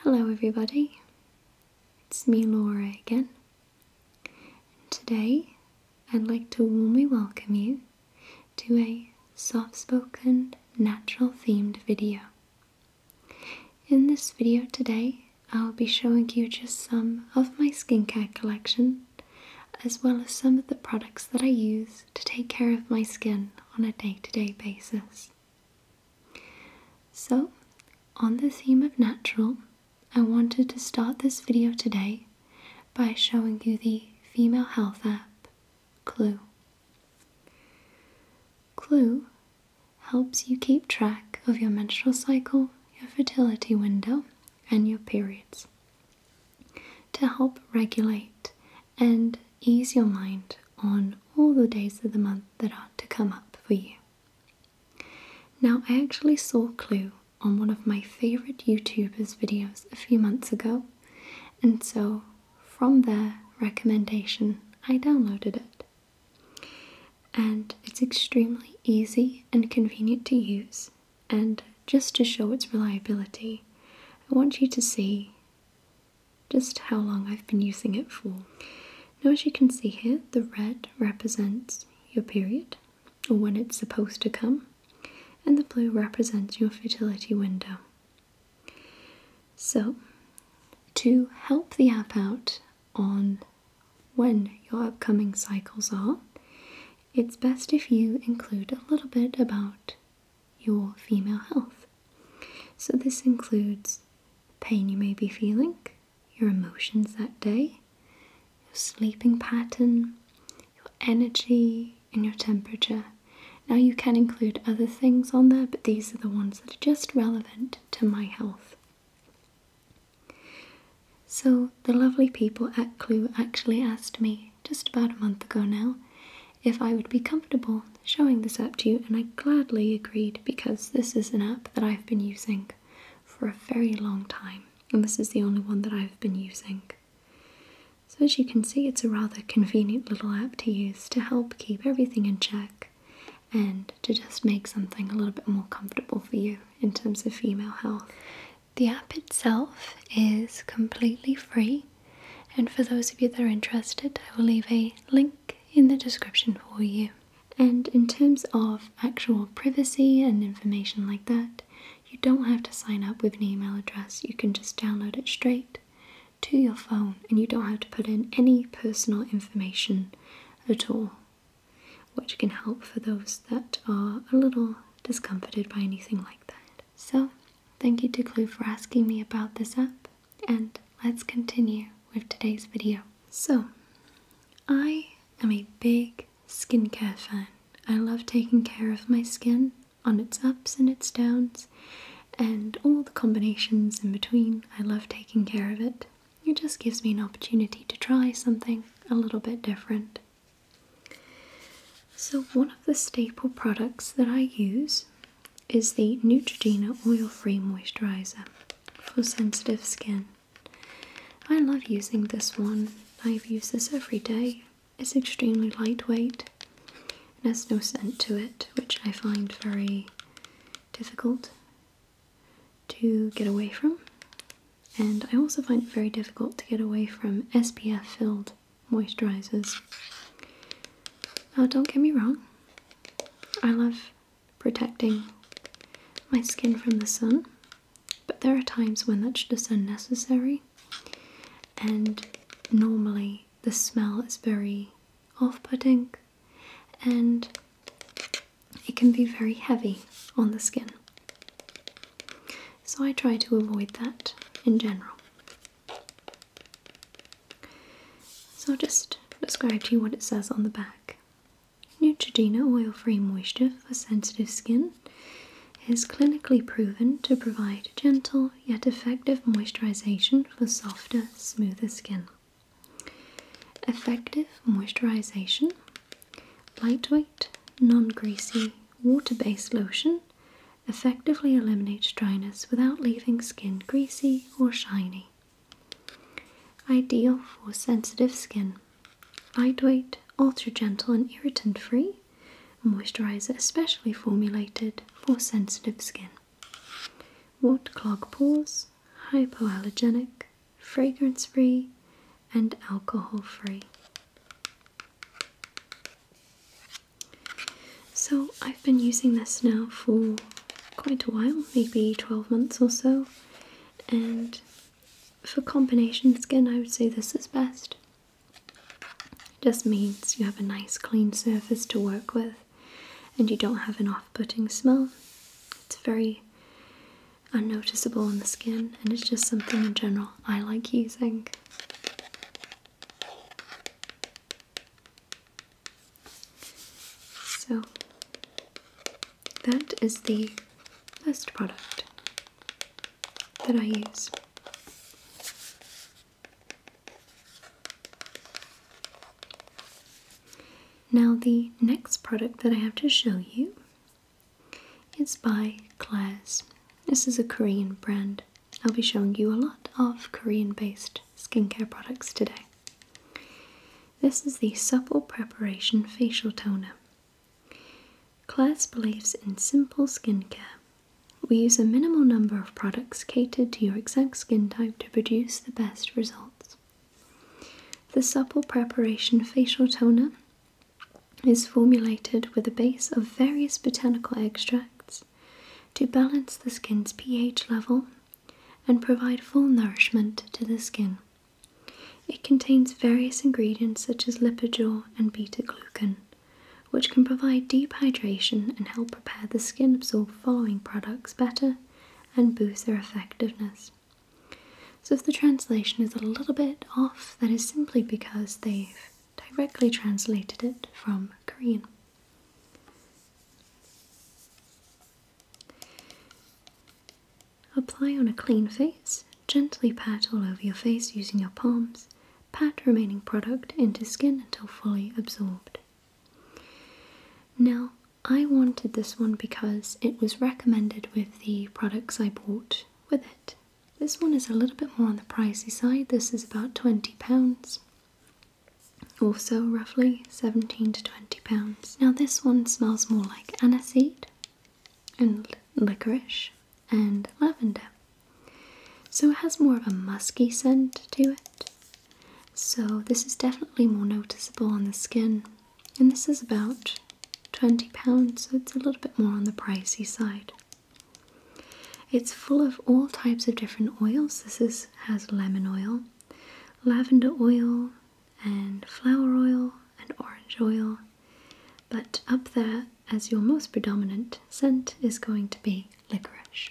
Hello, everybody. It's me, Laura, again. And today, I'd like to warmly welcome you to a soft spoken, natural themed video. In this video today, I'll be showing you just some of my skincare collection, as well as some of the products that I use to take care of my skin on a day to day basis. So, on the theme of natural, I wanted to start this video today by showing you the female health app, Clue. Clue helps you keep track of your menstrual cycle, your fertility window, and your periods to help regulate and ease your mind on all the days of the month that are to come up for you. Now, I actually saw Clue on one of my favorite YouTubers' videos a few months ago, and so from their recommendation, I downloaded it. And it's extremely easy and convenient to use, and just to show its reliability, I want you to see just how long I've been using it for. Now, as you can see here, the red represents your period or when it's supposed to come, and the blue represents your fertility window. So, to help the app out on when your upcoming cycles are, it's best if you include a little bit about your female health. So, this includes pain you may be feeling, your emotions that day, your sleeping pattern, your energy, and your temperature. Now, you can include other things on there, but these are the ones that are just relevant to my health. So, the lovely people at Clue actually asked me just about a month ago now if I would be comfortable showing this app to you, and I gladly agreed because this is an app that I've been using for a very long time, and this is the only one that I've been using. So, as you can see, it's a rather convenient little app to use to help keep everything in check and to just make something a little bit more comfortable for you in terms of female health. The app itself is completely free and for those of you that are interested, I will leave a link in the description for you. And in terms of actual privacy and information like that, you don't have to sign up with an email address. You can just download it straight to your phone and you don't have to put in any personal information at all, which can help for those that are a little discomforted by anything like that. So, Thank you to Clue for asking me about this app, and let's continue with today's video. So, I am a big skincare fan. I love taking care of my skin on its ups and its downs, and all the combinations in between. I love taking care of it. It just gives me an opportunity to try something a little bit different. So one of the staple products that I use is the Neutrogena Oil-Free Moisturizer for sensitive skin. I love using this one. I've used this every day. It's extremely lightweight and has no scent to it, which I find very difficult to get away from. And I also find it very difficult to get away from SPF filled moisturizers. Now, don't get me wrong, I love protecting my skin from the sun, but there are times when that's just unnecessary, and normally the smell is very off putting and it can be very heavy on the skin. So I try to avoid that in general. So I'll just describe to you what it says on the back. Neutrogena oil-free moisture for sensitive skin is clinically proven to provide gentle yet effective moisturization for softer, smoother skin. Effective moisturization, lightweight, non-greasy, water-based lotion effectively eliminates dryness without leaving skin greasy or shiny. Ideal for sensitive skin. Lightweight, ultra gentle, and irritant free. moisturizer especially formulated for sensitive skin. Wart clog pores, hypoallergenic, fragrance free, and alcohol free. So, I've been using this now for quite a while, maybe 12 months or so, and for combination skin, I would say this is best. It just means you have a nice clean surface to work with and you don't have an off putting smell. It's very unnoticeable on the skin and it's just something in general I like using. So that is the first product that I use. Now the next product that I have to show you it's by Claire's. This is a Korean brand. I'll be showing you a lot of Korean based skincare products today. This is the Supple Preparation Facial Toner. Claire's believes in simple skincare. We use a minimal number of products catered to your exact skin type to produce the best results. The Supple Preparation Facial Toner is formulated with a base of various botanical extracts to balance the skin's pH level and provide full nourishment to the skin. It contains various ingredients such as lipogel and beta glucan, which can provide deep hydration and help prepare the skin absorb following products better and boost their effectiveness. So if the translation is a little bit off, that is simply because they've directly translated it from Korean. Apply on a clean face, gently pat all over your face using your palms, pat remaining product into skin until fully absorbed. Now, I wanted this one because it was recommended with the products I bought with it. This one is a little bit more on the pricey side. This is about £20. Also, roughly 17 to 20 pounds. Now, this one smells more like aniseed and licorice and lavender. So, it has more of a musky scent to it. So, this is definitely more noticeable on the skin and this is about £20, so it's a little bit more on the pricey side. It's full of all types of different oils. This is, has lemon oil, lavender oil, and flower oil, and orange oil. But up there, as your most predominant scent, is going to be licorice.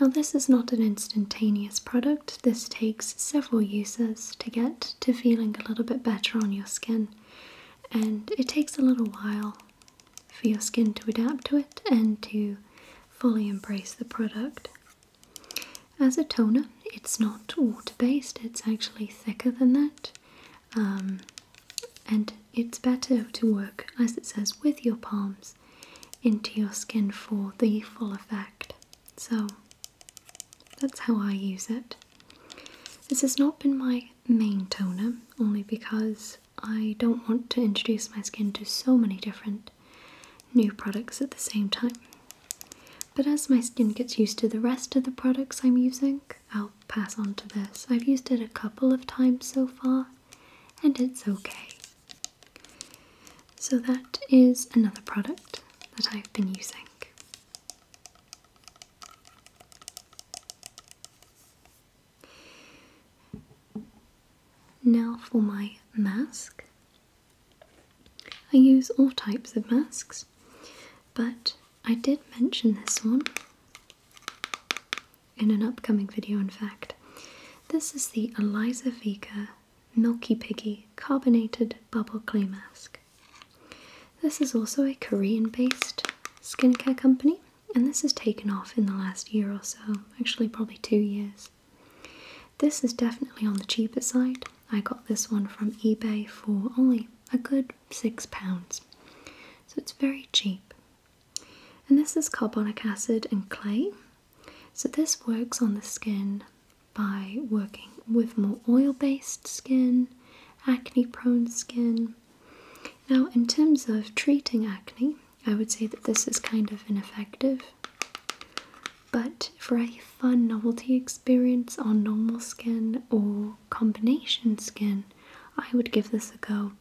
Now, this is not an instantaneous product. This takes several uses to get to feeling a little bit better on your skin, and it takes a little while for your skin to adapt to it and to fully embrace the product. As a toner, it's not water based, it's actually thicker than that, um, and it's better to work, as it says, with your palms into your skin for the full effect. So, that's how I use it. This has not been my main toner, only because I don't want to introduce my skin to so many different new products at the same time. But as my skin gets used to the rest of the products I'm using, I'll pass on to this. I've used it a couple of times so far, and it's okay. So that is another product that I've been using. Now for my mask. I use all types of masks, but I did mention this one in an upcoming video, in fact. This is the Eliza Vika Milky Piggy Carbonated Bubble Clay Mask. This is also a Korean based skincare company, and this has taken off in the last year or so, actually, probably two years. This is definitely on the cheaper side. I got this one from eBay for only a good six pounds, so it's very cheap. And this is carbonic acid and clay, so, this works on the skin by working with more oil based skin, acne prone skin. Now, in terms of treating acne, I would say that this is kind of ineffective. But for a fun novelty experience on normal skin or combination skin, I would give this a go.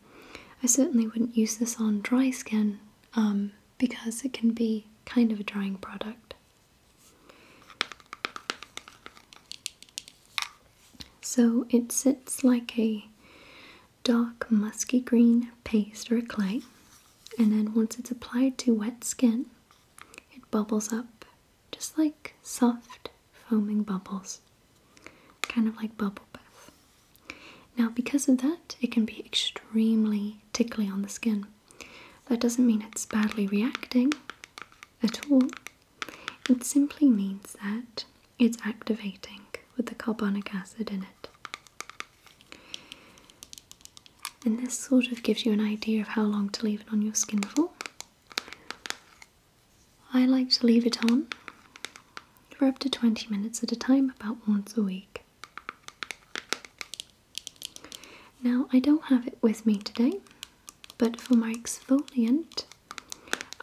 I certainly wouldn't use this on dry skin, um, because it can be kind of a drying product. So it sits like a dark musky green paste or a clay, and then once it's applied to wet skin, it bubbles up just like soft foaming bubbles, kind of like bubble bath. Now, because of that, it can be extremely really tickly on the skin. That doesn't mean it's badly reacting at all, it simply means that it's activating with the carbonic acid in it. And this sort of gives you an idea of how long to leave it on your skin for. I like to leave it on for up to 20 minutes at a time, about once a week. Now, I don't have it with me today, but for my exfoliant,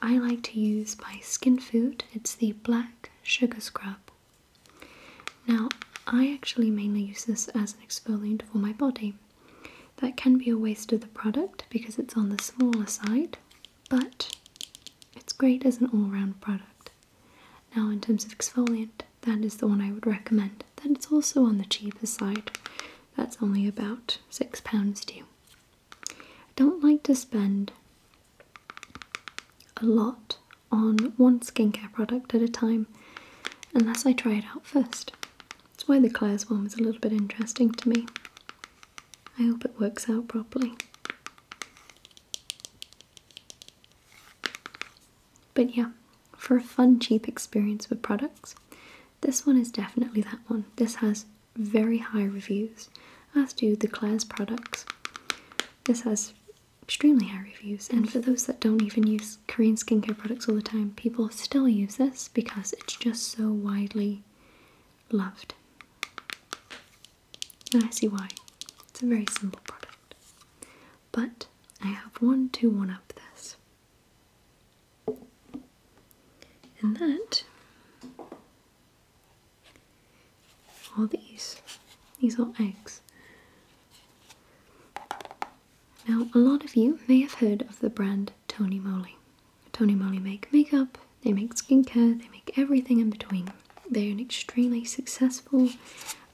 I like to use by Skin Food. It's the Black Sugar Scrub. Now, I actually mainly use this as an exfoliant for my body. That can be a waste of the product because it's on the smaller side, but it's great as an all round product. Now, in terms of exfoliant, that is the one I would recommend. That it's also on the cheaper side. That's only about six pounds due. I don't like to spend a lot on one skincare product at a time unless I try it out first. That's why the Claire's one was a little bit interesting to me. I hope it works out properly. But yeah, for a fun, cheap experience with products, this one is definitely that one. This has very high reviews, as do the Claire's products. This has extremely high reviews, and for those that don't even use Korean skincare products all the time, people still use this because it's just so widely loved. And I see why. It's a very simple product. But I have one to one up this. And that all these. These are eggs. Now, a lot of you may have heard of the brand Tony Moly. Tony Moly make makeup, they make skincare, they make everything in between. They're an extremely successful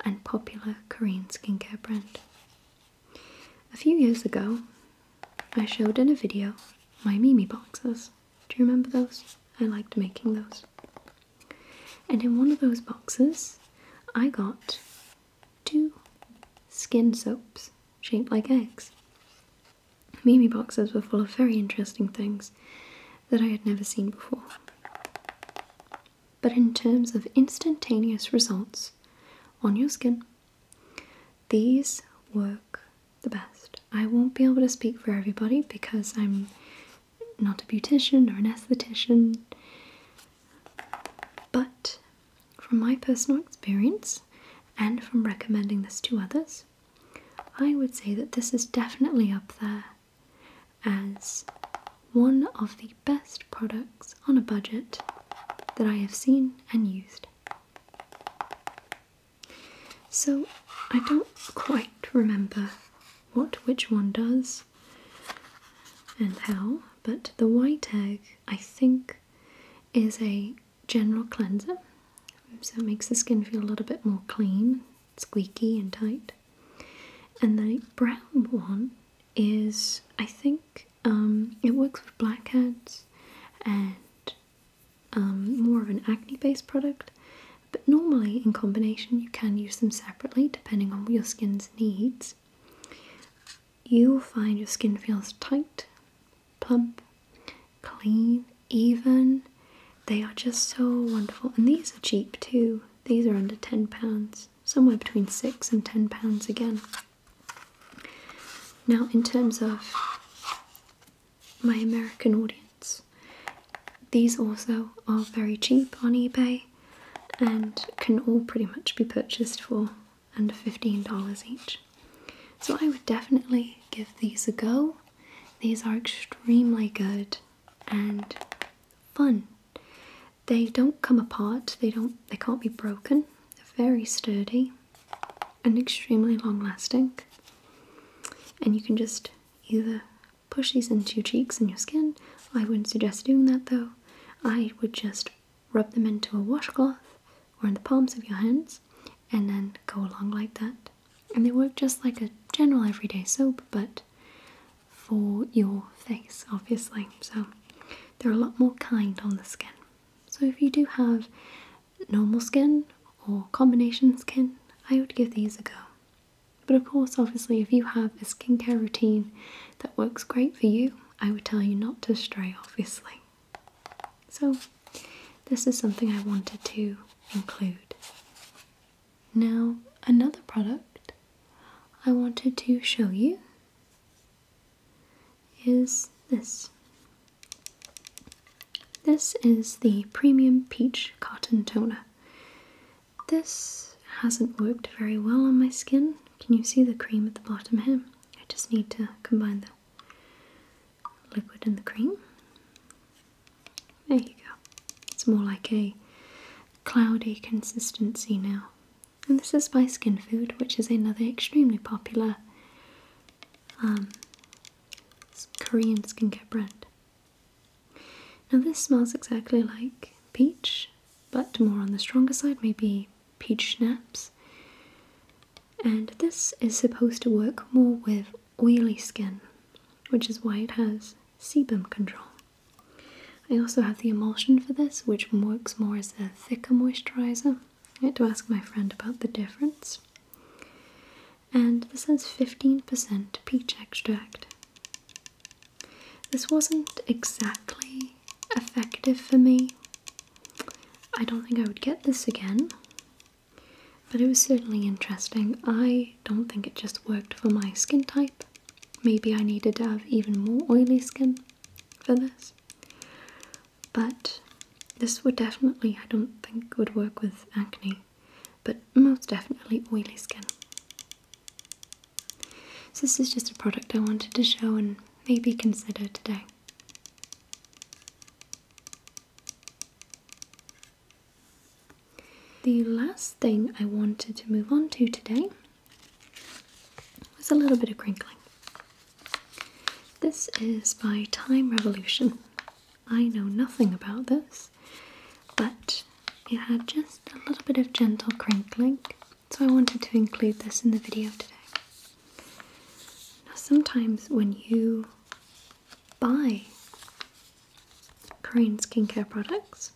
and popular Korean skincare brand. A few years ago, I showed in a video my Mimi boxes. Do you remember those? I liked making those. And in one of those boxes, I got two skin soaps shaped like eggs. Mimi boxes were full of very interesting things, that I had never seen before. But in terms of instantaneous results on your skin, these work the best. I won't be able to speak for everybody because I'm not a beautician or an esthetician, but from my personal experience and from recommending this to others, I would say that this is definitely up there as one of the best products on a budget that I have seen and used. So I don't quite remember what which one does and how, but the white egg I think is a general cleanser, so it makes the skin feel a little bit more clean squeaky and tight. And the brown one is, I think, um, it works with blackheads and um, more of an acne based product. But normally, in combination, you can use them separately depending on your skin's needs. You'll find your skin feels tight, plump, clean, even. They are just so wonderful. And these are cheap too. These are under £10, somewhere between six and £10 again. Now, in terms of my American audience, these also are very cheap on eBay and can all pretty much be purchased for under $15 each. So I would definitely give these a go. These are extremely good and fun. They don't come apart, they don't they can't be broken. They're very sturdy and extremely long lasting. And you can just either push these into your cheeks and your skin. I wouldn't suggest doing that though. I would just rub them into a washcloth or in the palms of your hands and then go along like that and they work just like a general everyday soap but for your face obviously so they're a lot more kind on the skin so if you do have normal skin or combination skin i would give these a go but of course obviously if you have a skincare routine that works great for you i would tell you not to stray obviously so, this is something I wanted to include. Now, another product I wanted to show you is this. This is the Premium Peach Cotton Toner. This hasn't worked very well on my skin. Can you see the cream at the bottom here? I just need to combine them liquid and the cream. There you go. It's more like a cloudy consistency now. And this is by Skin Food, which is another extremely popular um, Korean skincare brand. Now, this smells exactly like peach, but more on the stronger side, maybe peach schnapps and this is supposed to work more with oily skin, which is why it has sebum control. I also have the emulsion for this, which works more as a thicker moisturizer. I had to ask my friend about the difference. And this has 15% peach extract. This wasn't exactly effective for me. I don't think I would get this again, but it was certainly interesting. I don't think it just worked for my skin type. Maybe I needed to have even more oily skin for this. But this would definitely, I don't think, would work with acne, but most definitely oily skin. So this is just a product I wanted to show and maybe consider today. The last thing I wanted to move on to today was a little bit of crinkling. This is by Time Revolution. I know nothing about this, but it had just a little bit of gentle crinkling, so I wanted to include this in the video today. Now, sometimes when you buy Korean skincare products,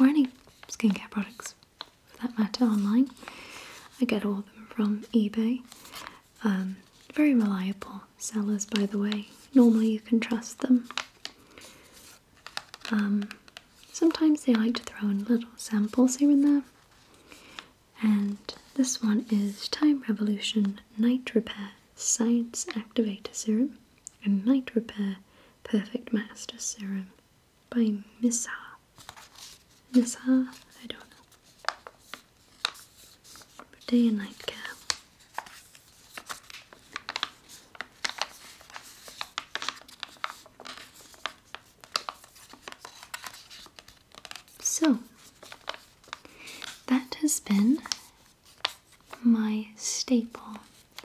or any skincare products for that matter, online, I get all of them from eBay. Um, very reliable sellers, by the way. Normally, you can trust them. Um, sometimes they like to throw in little samples here and there. And this one is Time Revolution Night Repair Science Activator Serum and Night Repair Perfect Master Serum by Missar. Missar? I don't know. day and night care. So, that has been my staple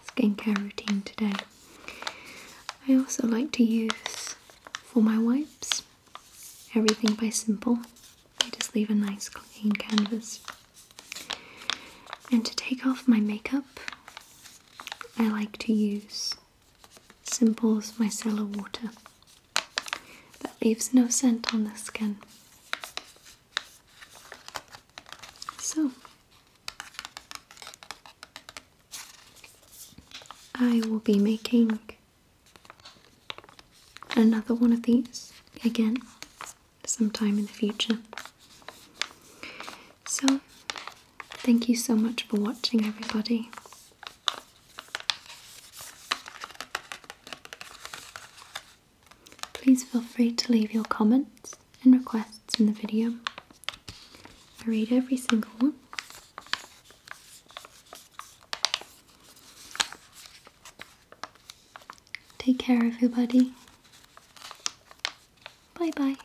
skincare routine today. I also like to use for my wipes everything by Simple. I just leave a nice clean canvas. And to take off my makeup, I like to use simple as micellar water that leaves no scent on the skin. So, I will be making another one of these again sometime in the future. So, thank you so much for watching, everybody. Please feel free to leave your comments and requests in the video. I read every single one. Take care, everybody. Bye bye.